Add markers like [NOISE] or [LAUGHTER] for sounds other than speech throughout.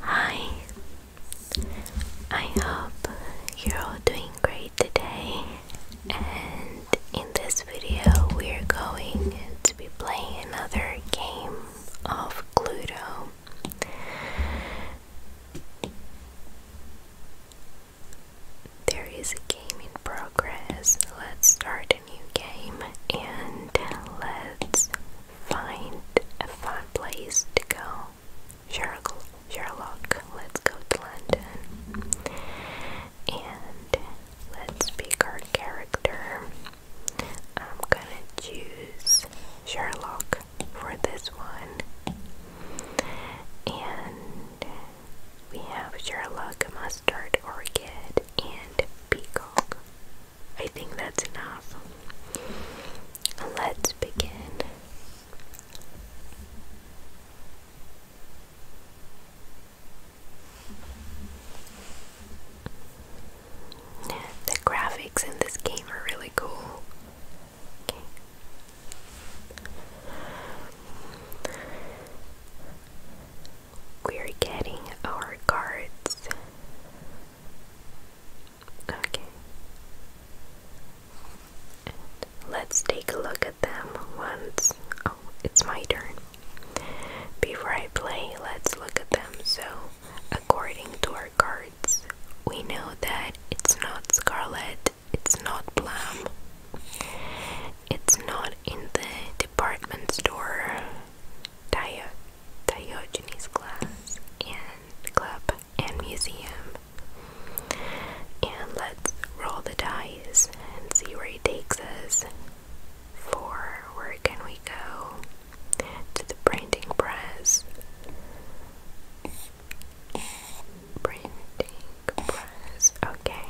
Hi, I hope you're all doing great today. And in this video, we're going to be playing another game of Cluedo. There is a game in progress. Let's start it new game and let's find a fun place to go. Sherlock, Sherlock, let's go to London and let's pick our character. I'm gonna choose Sherlock for this one, and we have Sherlock, Mustard, Orchid, and Peacock. I think that's enough. Let's begin. The graphics in this game are really cool. We're getting our cards. Okay. let's take a look at them once. Oh, it's my turn. Before I play, let's look at them. So, according to our cards, we know that it's not Scarlet, it's not Plum, it's not in the department store. Dia Diogenes Glass and Club and Museum. And let's roll the dice and see where he takes us. For where can we go? To the printing press. Printing press. Okay.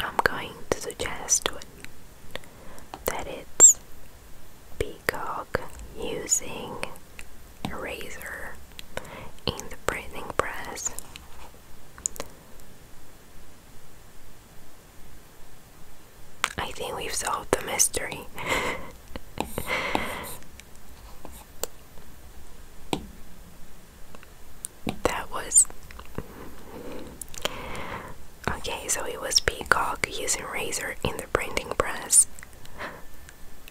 I'm going to suggest that it's Peacock using razor in the printing press. I think we've solved the mystery. [LAUGHS] that was Okay, so it was Peacock using razor in the printing press.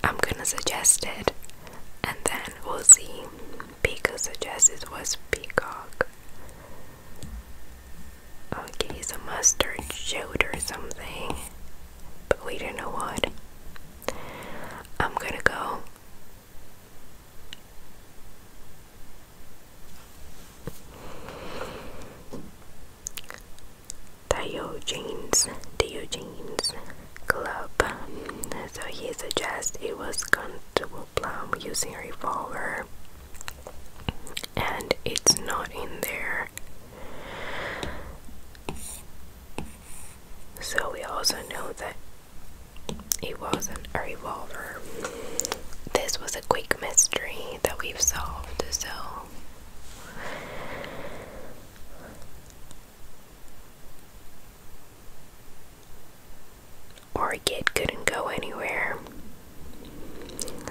I'm gonna suggest it and then we'll see. suggests it was Peacock. Okay, a mustard shoulder something. But we don't know what. I'm gonna go. Diogenes, Diogenes Club. So he suggests it was gun to a Plum using a revolver, and it's not in there. So we also know that it wasn't a revolver. This was a quick mystery that we've solved, so or kid couldn't go anywhere.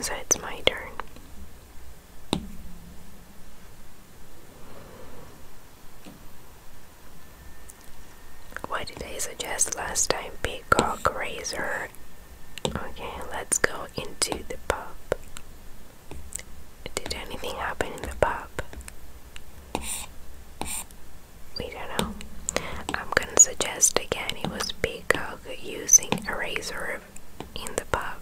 So it's my turn. What did they suggest last time? Big cock razor Okay, let's go into the pub. Did anything happen in the pub? We don't know. I'm gonna suggest again it was Peacock using a razor in the pub.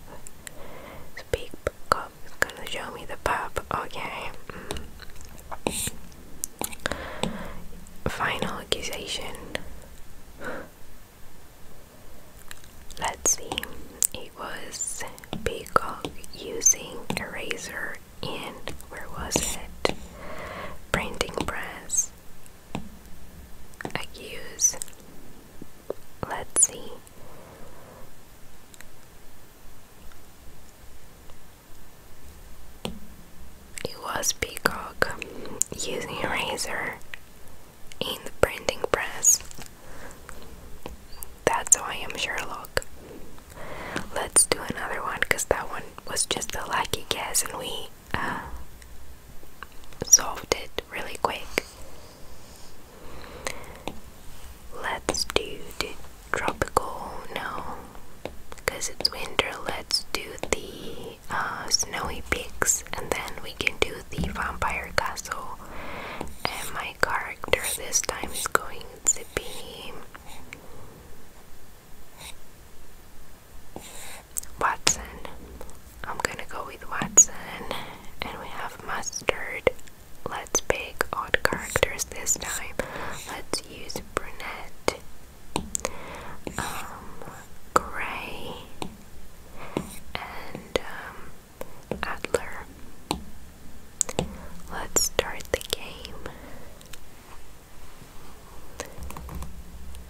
So Peacock is gonna show me the pub. Okay. Mm. Final accusation. Let's see. It was Peacock using eraser razor in where was it? Printing press. Accuse. Let's see. It was Peacock using a razor in the printing press. That's how I am Sherlock. Let's do another one because that one was just a lucky guess and we uh, solved it really quick. Let's do the tropical, no, because it's winter. Let's do the uh, snowy peaks, and then we can do the vampire castle. And my character this time is going to be Watson. I'm gonna go with Watson, and we have mustard. Let's pick odd characters this time. Let's use brunette um, Gray, and um, Adler. Let's start the game.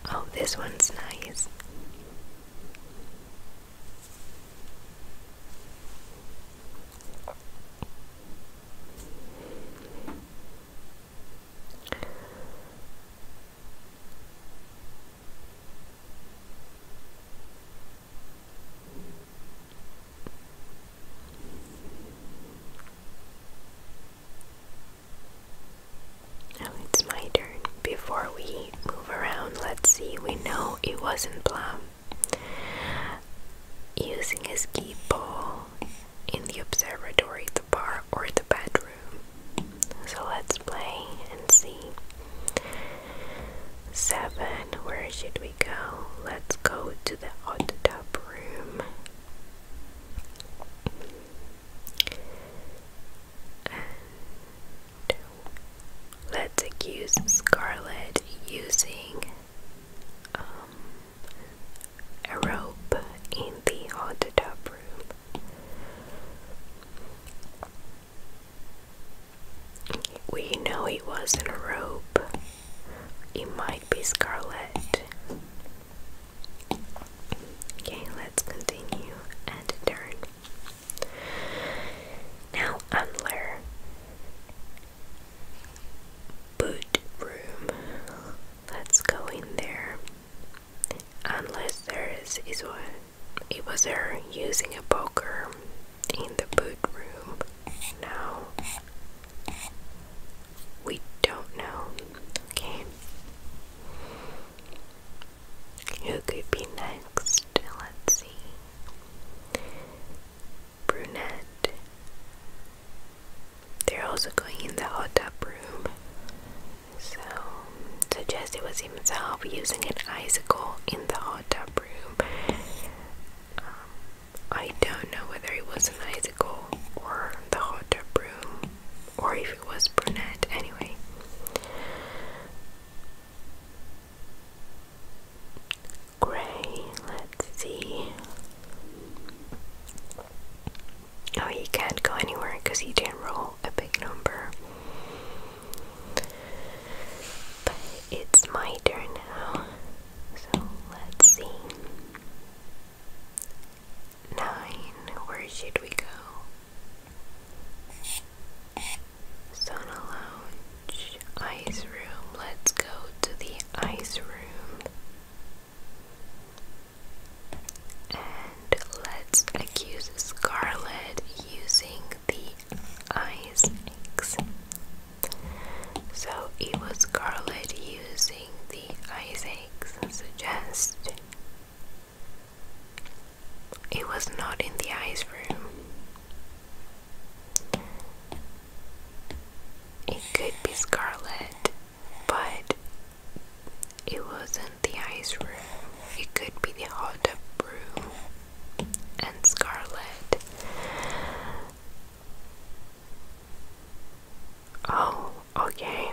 Oh, this one's nice. Now it's my turn. Before we move around, let's see. We know it wasn't Plum. Using his key ball, in the observatory, the bar, or the bedroom. So let's play and see. Seven, where should we go? Let's go to the hot tub room. let's accuse Scarlet using um, a rope in the hot tub room. We know he wasn't a rope, He might be scarlet. Okay, let's continue and turn. Now, under boot room, let's go in there unless there is, is one. It was her using a poker in the boot room. Now we don't know. Okay. Who could be next? Let's see. Brunette they're also going in the hot tub room. So, suggest it was himself using an icicle in the hot tub room. Um, I don't know whether it was an icicle or the hot tub room, or if it was brunette. Anyway. Gray, let's see. No, oh, he can't go anywhere because he didn't roll a big number. But it's my turn now. So let's see. Nine, where should we go? Sauna lounge, ice room. Let's go to the ice room. And let's accuse Scarlet using the ice axe. So it was Scarlet using the ice axe suggest. It was not in the ice room. It could be Scarlet but it wasn't the ice room, it could be the hot tub room. And Scarlet. Oh, okay.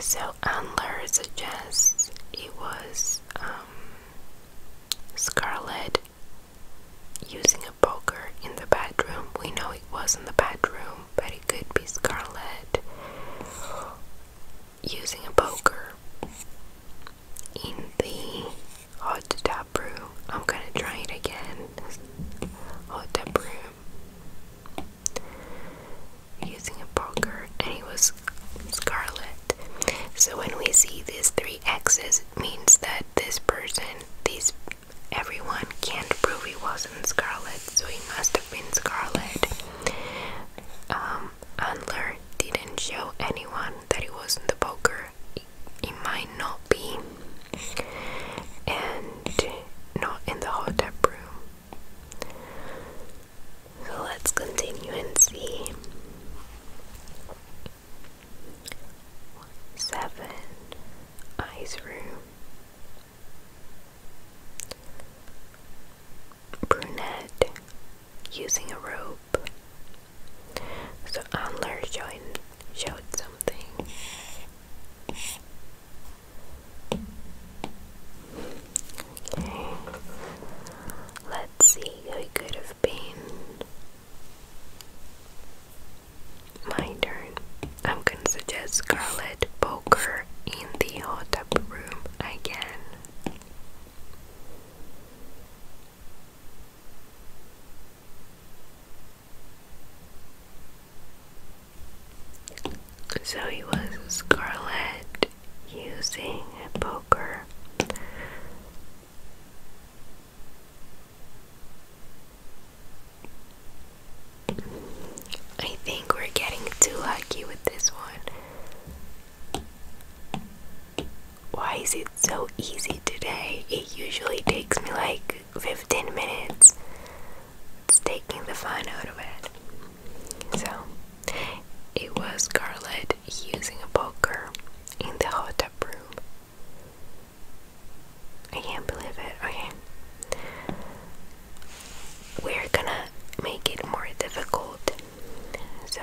So Antler suggests it was um, Scarlet using a poker in the bedroom. We know it was in the bedroom but it could be Scarlet using a poker in the hot tub room. I'm gonna try it again. Hot tub room using a poker, and he was Scarlet. So when we see these three X's, it means that this person, these everyone can't prove he wasn't Scarlet, so he must been Scarlet. Um, didn't show anyone that it was in the poker. It, might not be. And not in the hot room. let's continue and see. Seven. Ice room. Brunette using a rope. So Anler joined, showed something. Okay, let's see who could have been. My turn. I'm gonna suggest Scarlet Poker in the hot tub room again. So he was Scarlet using a poker. I think we're getting too lucky with this one. Why is it so easy today? It usually takes me like 15 minutes. It's taking the fun out of it. So, it was Scarlett using a poker in the hot tub room. I can't believe it. Okay. We're gonna make it more difficult. So,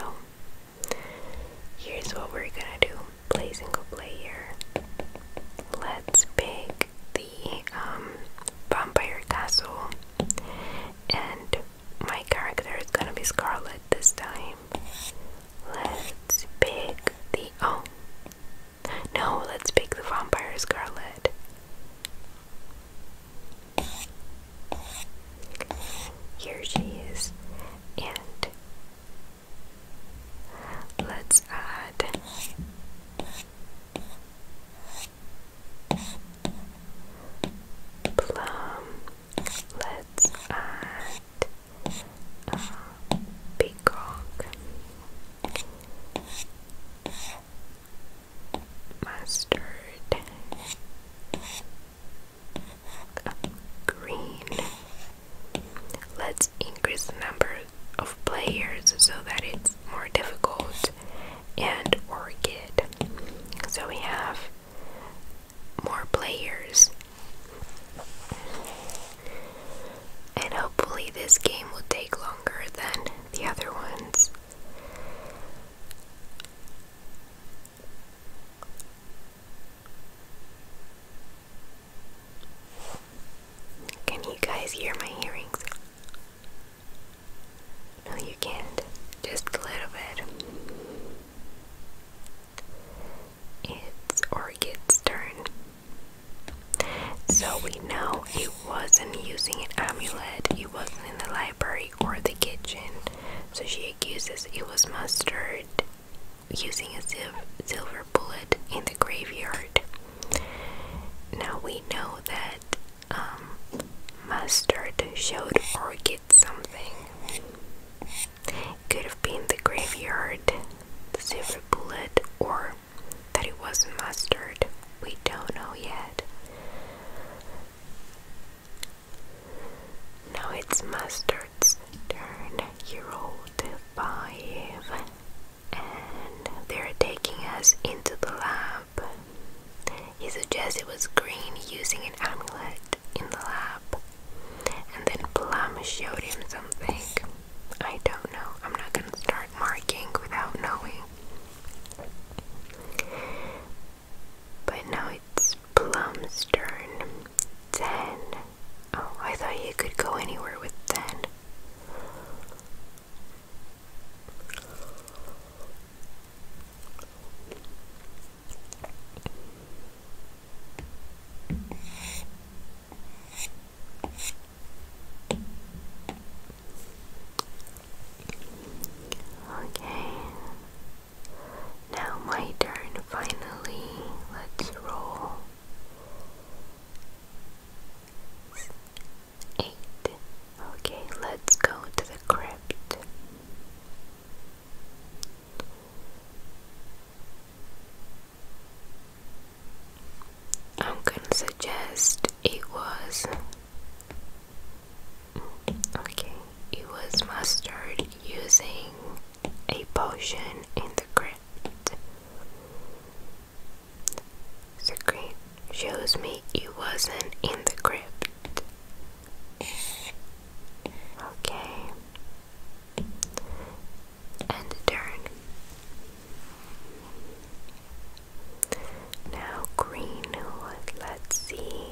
here's what we're gonna do play single player. Let's pick the um, vampire castle. And my character is gonna be Scarlet this time. Let's pick the. Oh, no, let's pick the vampire scarlet. Here she is. And let's add plum. Let's add uh, peacock mustard, green. Let's increase the number of players so that it's more difficult. And orchid. So we have more players and hopefully this game will take longer than the other ones. Can you guys hear my earrings? No, you can't. Just a little bit. It's Orchid's turn. So we know he wasn't using an amulet, he wasn't in the library or the kitchen. So she accuses it was mustard using a silver bullet in the graveyard. Now we know that um, mustard showed Orchid something. Could have been the graveyard, the silver bullet, or that it was mustard, we don't know yet. Now it's mustard's turn. He rolled five, and they're taking us into the lab. He suggests it was green using an amulet in the lab, and then Plum showed him something. I don't know. I'm not gonna start marking without knowing. But now it's Plum's turn. Ten. Oh, I thought you could go anywhere with ten. Okay, now my turn finally. Let's roll. Eight. Okay, let's go to the crypt. I'm gonna suggest it was okay, it was mastered using a potion in the crypt. The crypt shows me it wasn't in the crypt. Okay, and turn. Now, green let's see.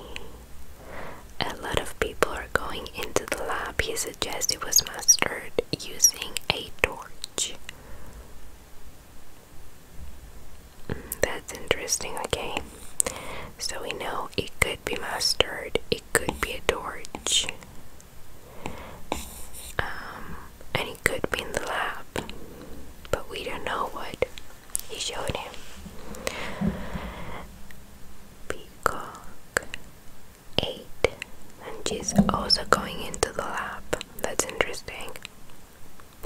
A lot of people are going into the lab. He suggests it was mastered using a torch. Mm, that's interesting, okay. So we know it could be mastered, it could be a torch. Um, could be in the lab, but we don't know what he showed him. Peacock ate, and she's also going into the lab. That's interesting.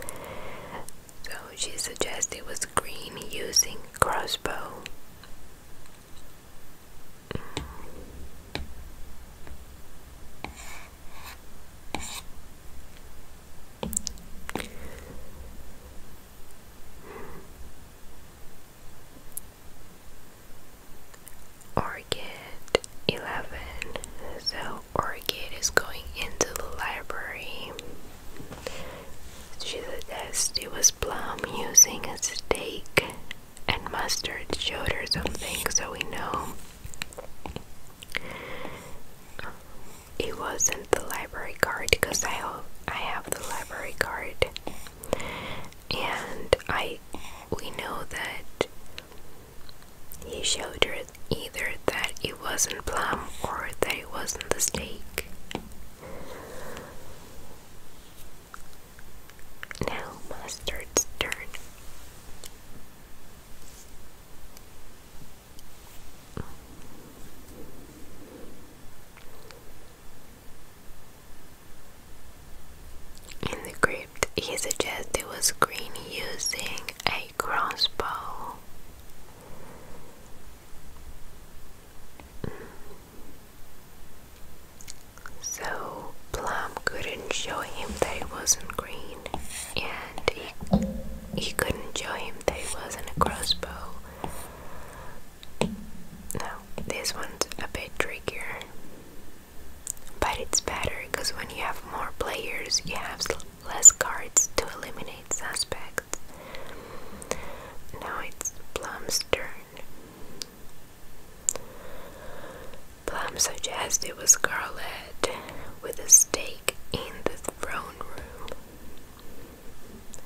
So she suggests it was green using crossbow. Orchid 11. So Orchid is going into the library. She suggests it was Plum using a steak and mustard showed her something so we know it wasn't the library card because I I have the library card, and I we know that he showed her either that it wasn't plum or that it wasn't the steak. Now mustard's turn. In the crypt, he suggested was green using a crossbow. So, Plum couldn't show him that it wasn't green, and he, he couldn't show him that it wasn't a crossbow. Now, this one's a bit trickier, but it's better because when you have more players, you have less cards to eliminate suspects. Now it's Plum's turn. Plum suggested was Scarlet with a stake in the throne room.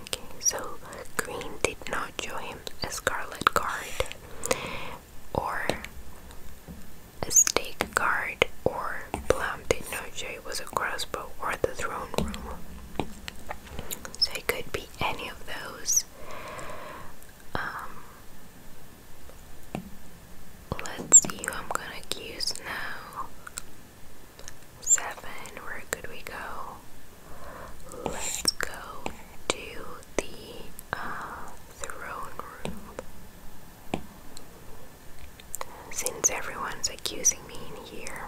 Okay, so Green did not join him a Scarlet guard, or a stake guard, or Plum did not show it was a crossbow or the throne room. So it could be any of those. Um, Let's see who I'm gonna accuse now. Seven, where could we go? Let's go to the uh, throne room. Since everyone's accusing me in here,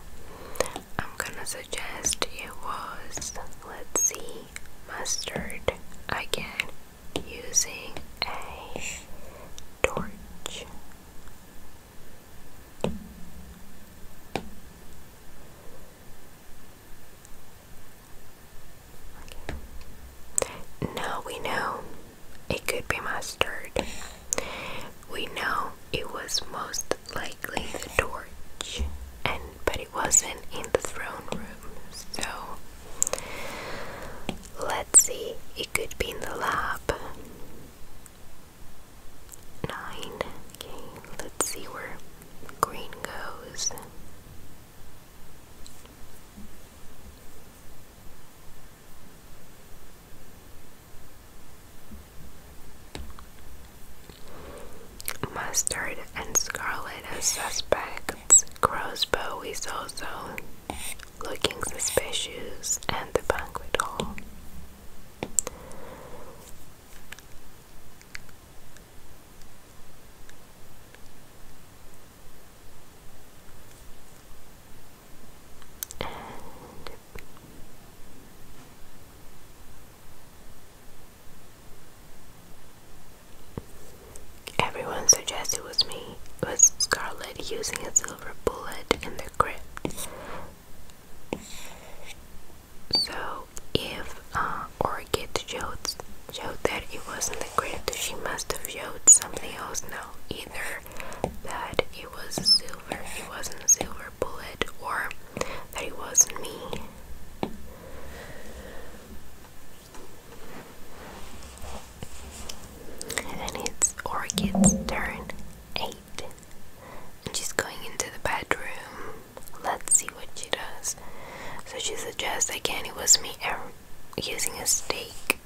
I'm gonna suggest it was, let's see, mustard again using a torch. Now we know it could be mustard. We know it was most likely the torch, and but it wasn't in the throne room, so Let's see, it could be in the lab. Nine. let's see where green goes. Mustard and Scarlet as suspects crossbow is also looking suspicious at the banquet hall. Everyone suggested it was me, it was Scarlet using a silver bullet in the crypt. So, if uh, Orchid showed, showed that it wasn't the crypt, she must have showed something else now. Either that it was silver, it wasn't a silver bullet, or that it wasn't me. And it's Orchid's turn 8. she's going into the bedroom. Let's see what she does. So she suggests that it was me er, using a stake.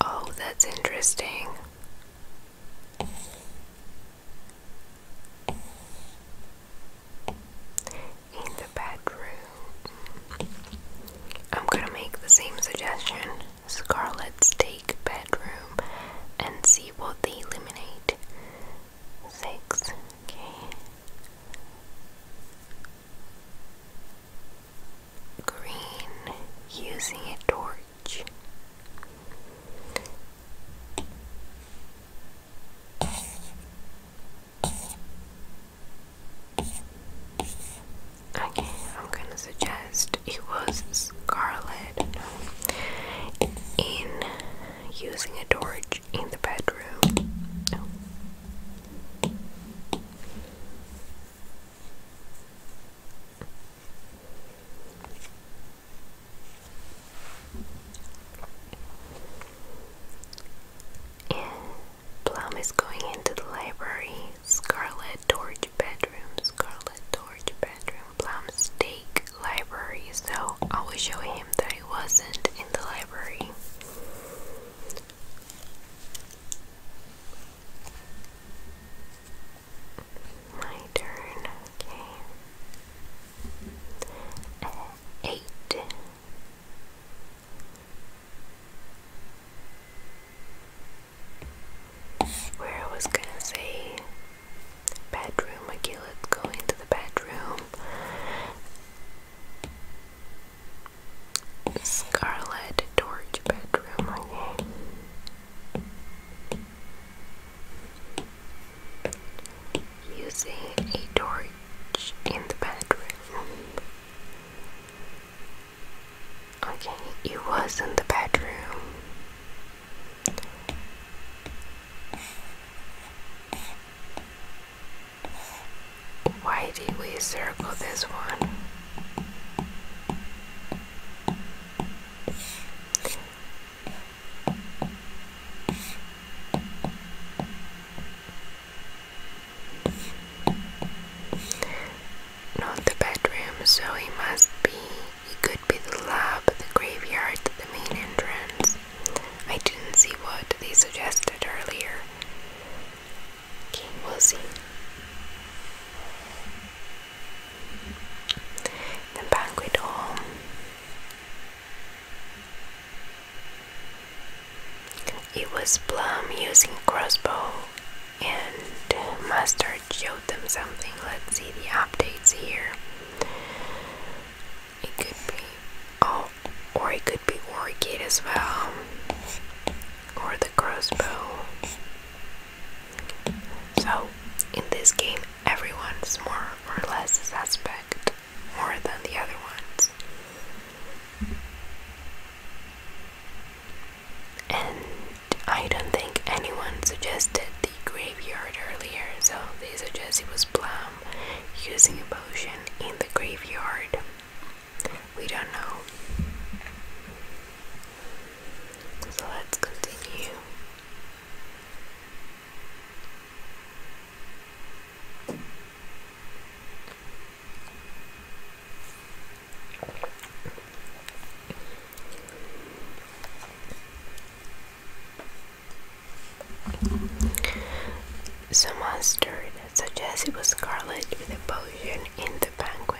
Oh, that's interesting in the bedroom. I'm gonna make the same suggestion Scarlet's take bedroom and see what they eliminate. Six, okay. Green using a torch. Okay, I'm gonna suggest it was Scarlet in using a torch in the bedroom. No. Plum is going into the library. Scarlet Torch bedroom. Scarlet Torch bedroom. Plum's take library. So I was showing him that I wasn't in the library. My turn. Okay. Uh, eight. Where I was gonna say bedroom, okay, let's go into the bedroom. Scarlet Torch bedroom, okay. Using a torch in the bedroom. Okay, it was in the bedroom. Why did we circle this one? Not the bedroom, so it must be. It could be the lab, the graveyard, the main entrance. I didn't see what they suggested earlier. we'll see. The banquet hall. It was Plum using crossbow and Mustard showed them something. Let's see the updates here. It could be oh or it could be Orchid as well. Or the crossbow. So in this game everyone's more or less a suspect more than the other ones. And I don't think anyone suggested the graveyard earlier, so they suggest it was Plum using a potion in the graveyard. We don't know. So let's continue. Some stirred, suggests it was Scarlet with a potion in the banquet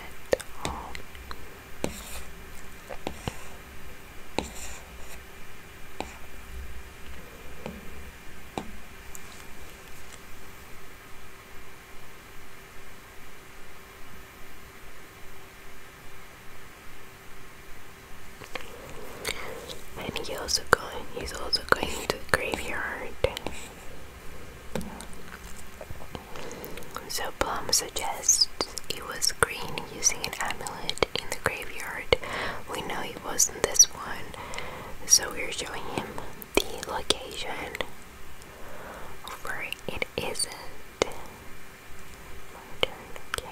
and he also going he's also going to the graveyard. So Plum suggests he was green using an amulet in the graveyard. We know it wasn't this one. So we're showing him the location of it isn't. Okay.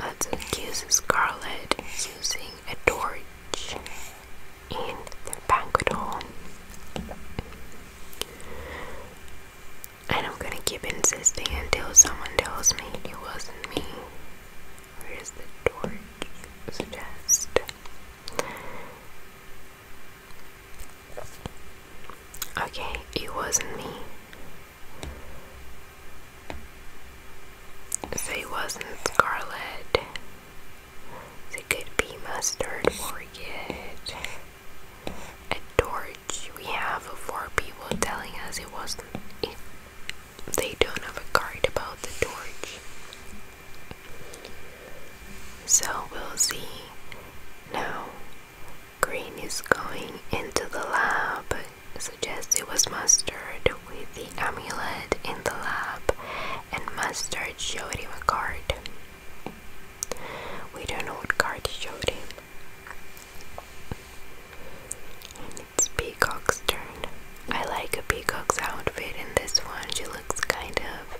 Let's accuse Scarlet using a torch in the banquet hall. And I'm gonna keep insisting until someone tells me it wasn't me. Where is the torch? Suggest. Okay, it wasn't me. So it wasn't Scarlet. it could be mustard or get A torch. We have four people telling us it wasn't. It they don't have a card about the torch. So we'll see. Now, Green is going into the lab. Suggest it was Mustard with the amulet in the lab, and Mustard showed him a card. We don't know what card he showed him. Peacock's turn. I like a Peacock's outfit in this one. She looks kind of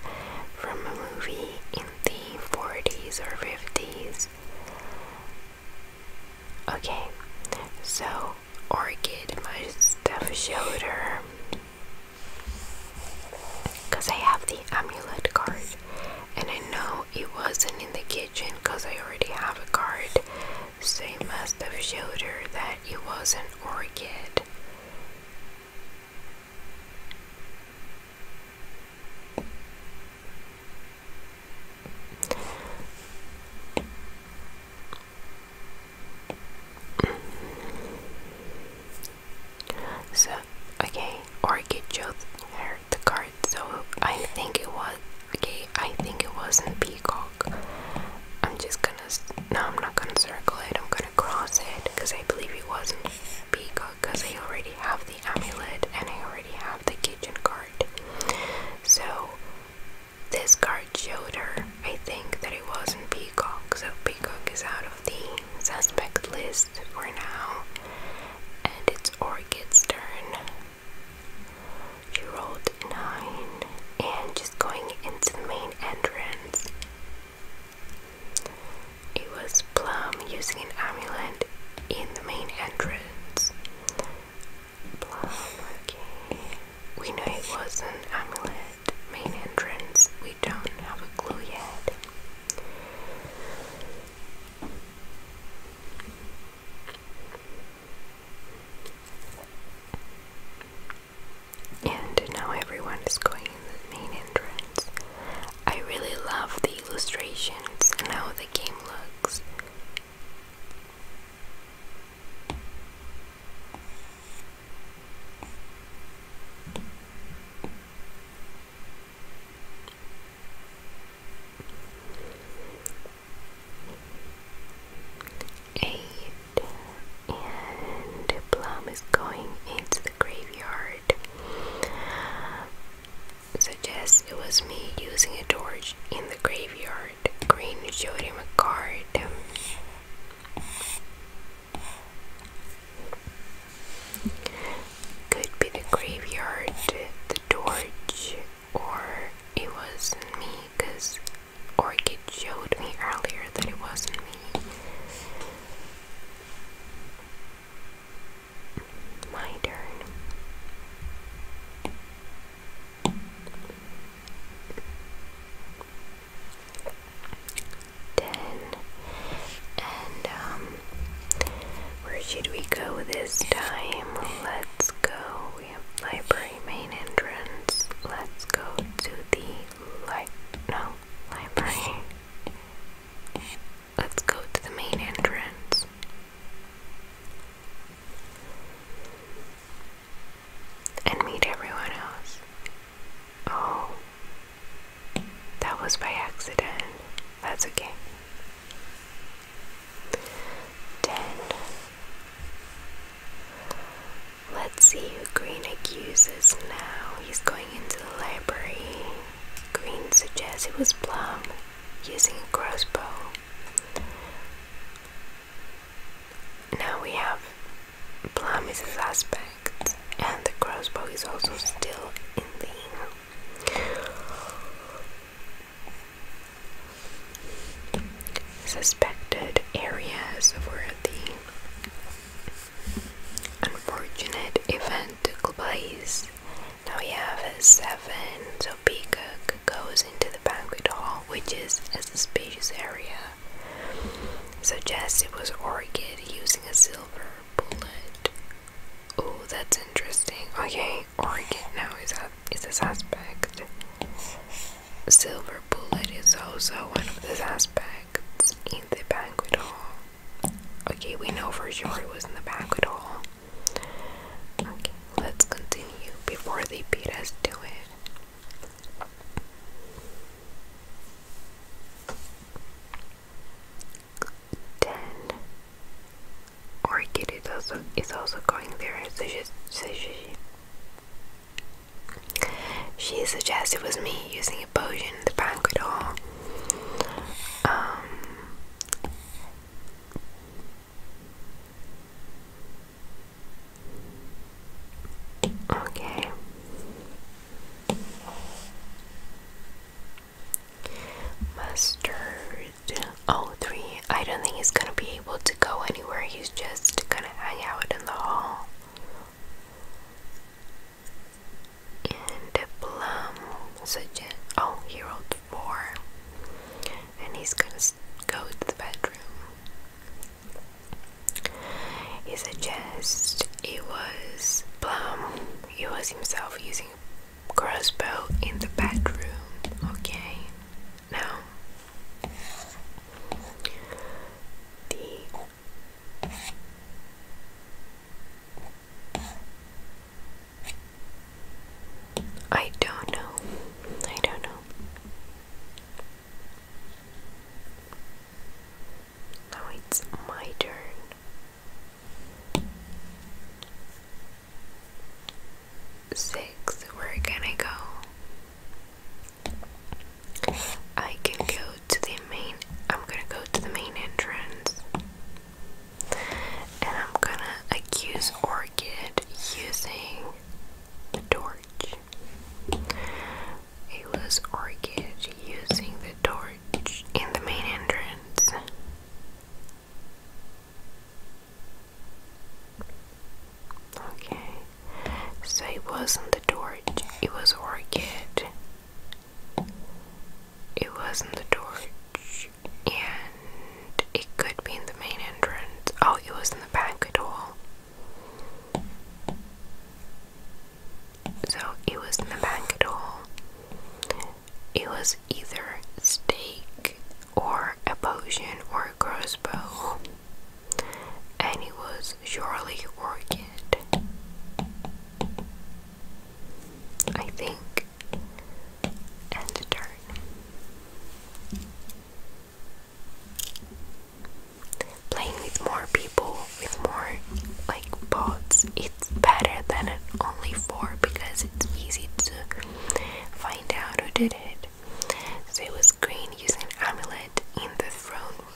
from a movie in the 40s or 50s. Okay, so Orchid, my stuff showed her. Because I have the amulet card. And I know it wasn't in the kitchen because I already have a card they must have showed her that it was an orchid. So, okay, orchid showed her the card, so I think it was, okay, I think it was in peacock. I'm just gonna, no, I'm not gonna circle it, I'm gonna cross it because I believe it wasn't peacock because I already have the amulet and I already have the kitchen card. So this card showed her, I think, that it wasn't peacock, so peacock is out of the suspect list for now. And it's Orchid's turn. You rolled nine and just going into the main entrance. It was Plum using an amulet in the main entrance. Plum, okay. We know it was an amulet main entrance. We don't have a clue yet. And now everyone is going in the main entrance. I really love the illustrations and how the game looks. Eight and Plum is going into the graveyard. Suggests it was me using a torch in the graveyard. Green showed him a card. Could be the graveyard, the torch, or it wasn't me because Orchid showed me earlier that it wasn't me. My turn. Ten. And, um, where should we go this time? Let's go we have library main entrance. Let's go to the li no library. Let's go to the main entrance. And meet everyone else. Oh. That was by accident. That's okay. Ten. Let's see who Green accuses now. He's going into the library. Green suggests it was Plum using a crossbow. Now we have Plum is a suspect, and the crossbow is also still in the suspected areas where the unfortunate event took place. Now we have a seven, so Peacock goes into the banquet hall, which is a spacious area. Suggests it was Orchid using a silver bullet. Oh, that's interesting. Okay, Orchid now is a is a suspect. Silver bullet is also one of the suspects in the banquet hall. Okay, we know for sure it was in the banquet hall. Okay, let's continue before they beat us to it. Ten. Orchid is also is also going there. So she, so she, she suggests it was me using a potion in the banquet hall. Um, okay. Mustard. Oh, three. I don't think he's gonna be able to go anywhere. He's just gonna hang out in the hall. And Plum suggest. Oh, he rolled four. And he's gonna go to the bedroom. He suggests it was Plum. He was himself using a crossbow in the bedroom. Okay. Now, the I don't know. I don't know. Now it's my turn six, where can I go? I can go to the main, I'm gonna go to the main entrance and I'm gonna accuse Orchid using the torch. It was Orchid using the torch in the main entrance. Okay, so it wasn't the torch, it was orchid. It wasn't the torch, and it could be in the main entrance. Oh, it was in the banquet hall. So it was in the banquet hall. It was either steak or a potion or a crossbow, and it was surely Orchid. I think, and turn. Playing with more people, with more like bots, it's better than only four because it's easy to find out who did it amulet. So it was green using an amulet in the throne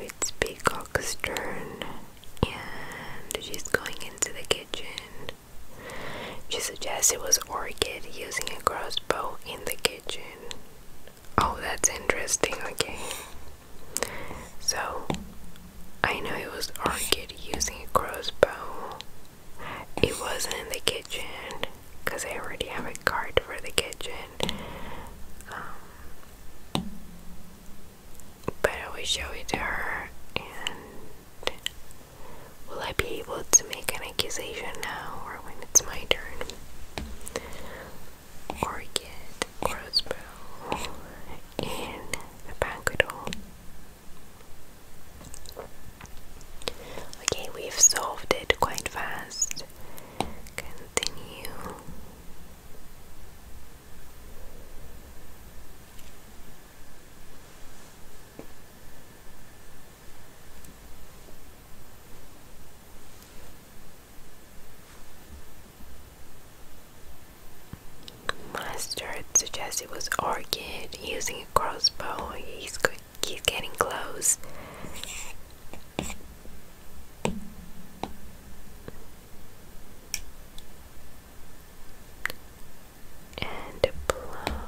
it's Peacock's turn, and she's going into the kitchen. She suggests it was Orchid using a crossbow in the kitchen. Oh, that's interesting. Okay. So, I know it was our using a crossbow. It wasn't in the kitchen because I already have a card for the kitchen. Um, but I will show it to her and will I be able to make an accusation now or when it's my turn? orchid crossbow in the banquet hall. Okay, we've solved it quite fast. Continue. Mustard suggests it was Orchid using a crossbow. He's, he's getting close. And a plum.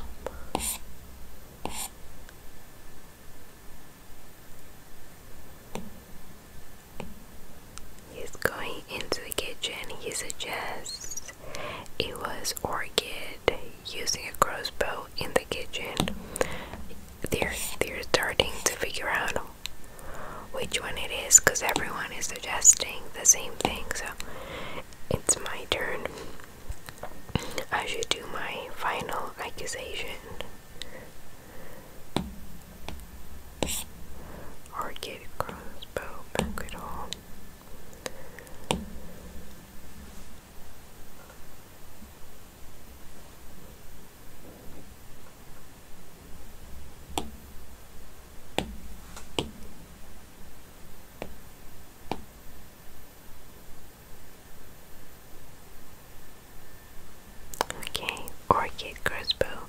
He's going into the kitchen. He suggests it was Orchid using a crossbow in the kitchen. They're they're starting to figure out which one it is because everyone is suggesting the same thing. So it's my turn. I should do my final accusation. Arcade Crossbow Banquet Hall. Okay, Orchid Crossbow,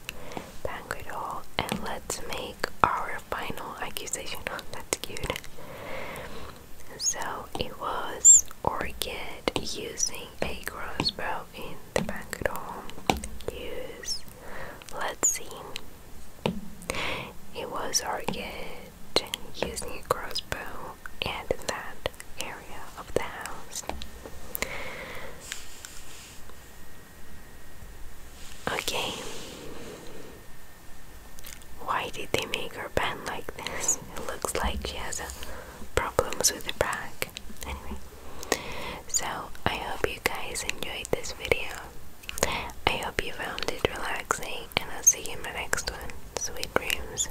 Banquet Hall, and let's make our final accusation. Oh, [GASPS] that's cute. So it was Orchid using a crossbow in the banquet hall. Use, let's see. It was Orchid using a crossbow and in that area of the house. Okay. Why did they make her bend like this? It looks like she has problems with her back. Anyway, so I hope you guys enjoyed this video. I hope you found it relaxing, and I'll see you in my next one. Sweet dreams.